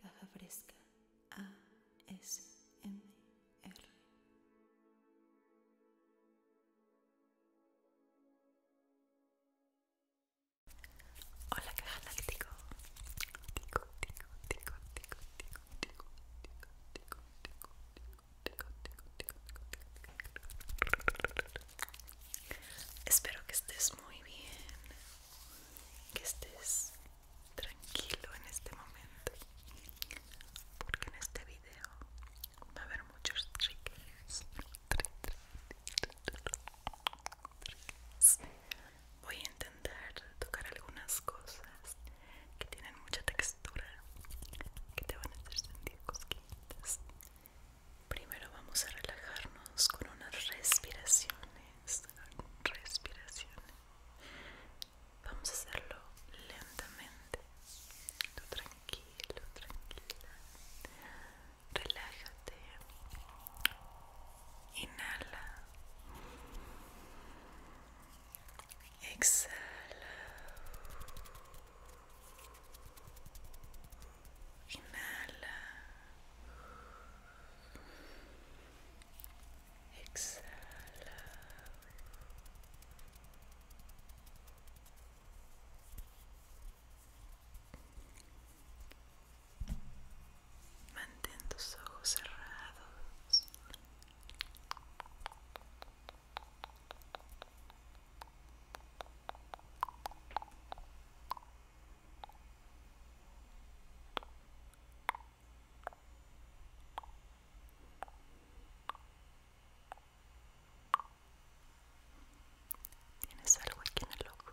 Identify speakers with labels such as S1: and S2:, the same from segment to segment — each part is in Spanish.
S1: Caja Fresca ASMR. Hola caja láctico. Espero que estés muy bien que estés tranquilo en este momento porque en este video va a haber muchos triggers voy a intentar tocar algunas cosas que tienen mucha textura que te van a hacer sentir cosquillitas Primero vamos a relajarnos con unas respiraciones. Respiraciones. Vamos a hacerlo lentamente. tranquilo, tranquila. Relájate. Inhala. Exhala. Inhala. Exhala. Mantén tus ojos cerrados. Tienes algo aquí en el ojo.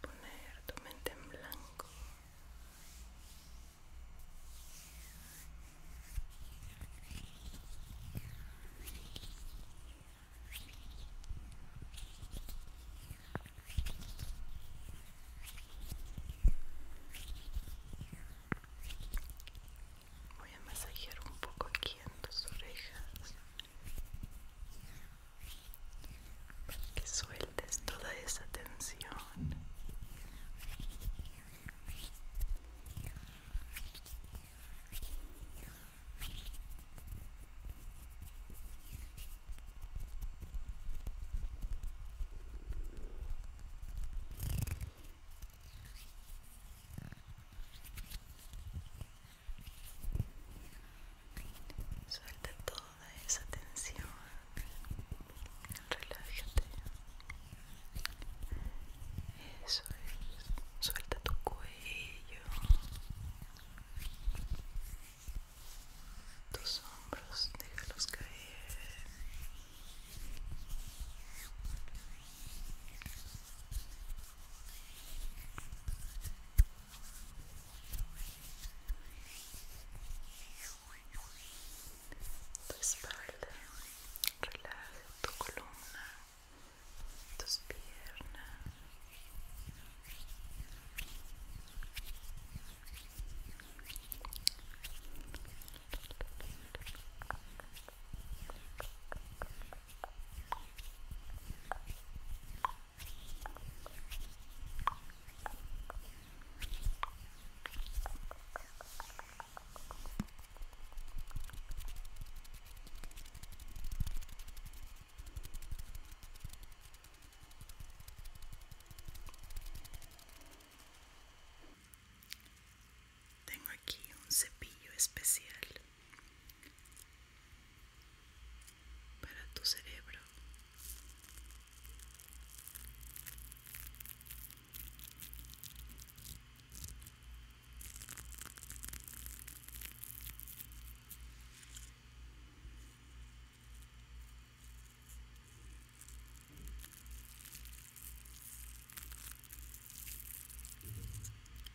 S1: poner tu mente en blanco Voy a masajear un poco aquí en tus orejas que sueltes toda esa tensión Suelta toda esa tensión. Relájate. Eso es. Suelta tu cuello. Tus hombros, déjalos caer tu espalda, relaja tu columna, tus piernas. Tengo aquí un cepillo especial para tu cerebro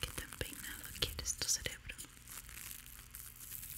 S1: ¿Qué tan peinado quieres tu cerebro?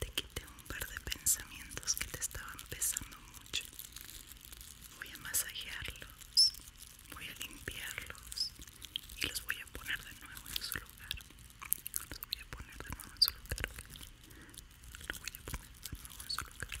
S1: Te quité un par de pensamientos que te estaban pesando mucho. Voy a masajearlos, voy a limpiarlos y los voy a poner de nuevo en su lugar. Los voy a poner de nuevo en su lugar. Los voy a poner de nuevo en su lugar.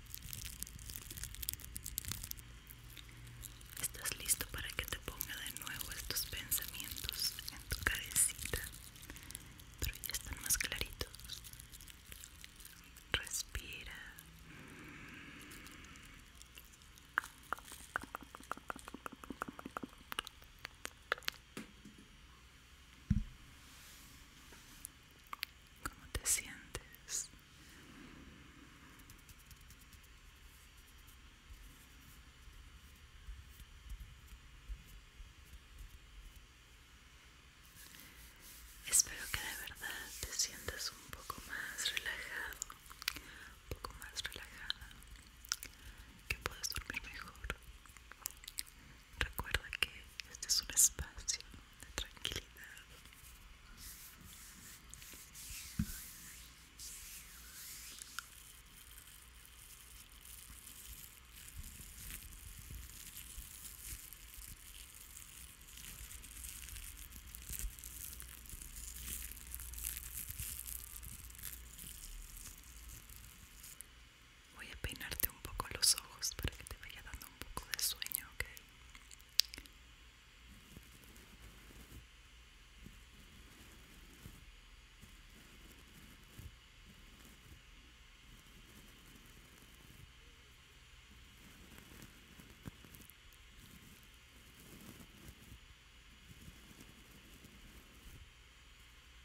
S1: Estás listo para que te ponga de nuevo estos pensamientos en tu cabecita, pero ya están más claritos. Respira cómo te sientes. Espero que de verdad te sientas un poco más relajado, un poco más relajada, que puedas dormir mejor. Recuerda que este es un espacio de tranquilidad. Voy a peinarte un poco los ojos para que te vaya dando un poco de sueño, ¿ok?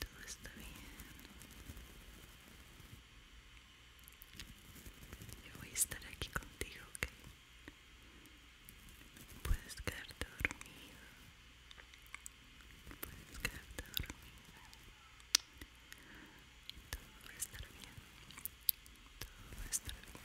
S1: todo está bien yo voy a estar aquí contigo ok puedes quedarte dormido puedes quedarte dormido. todo va a estar bien todo va a estar bien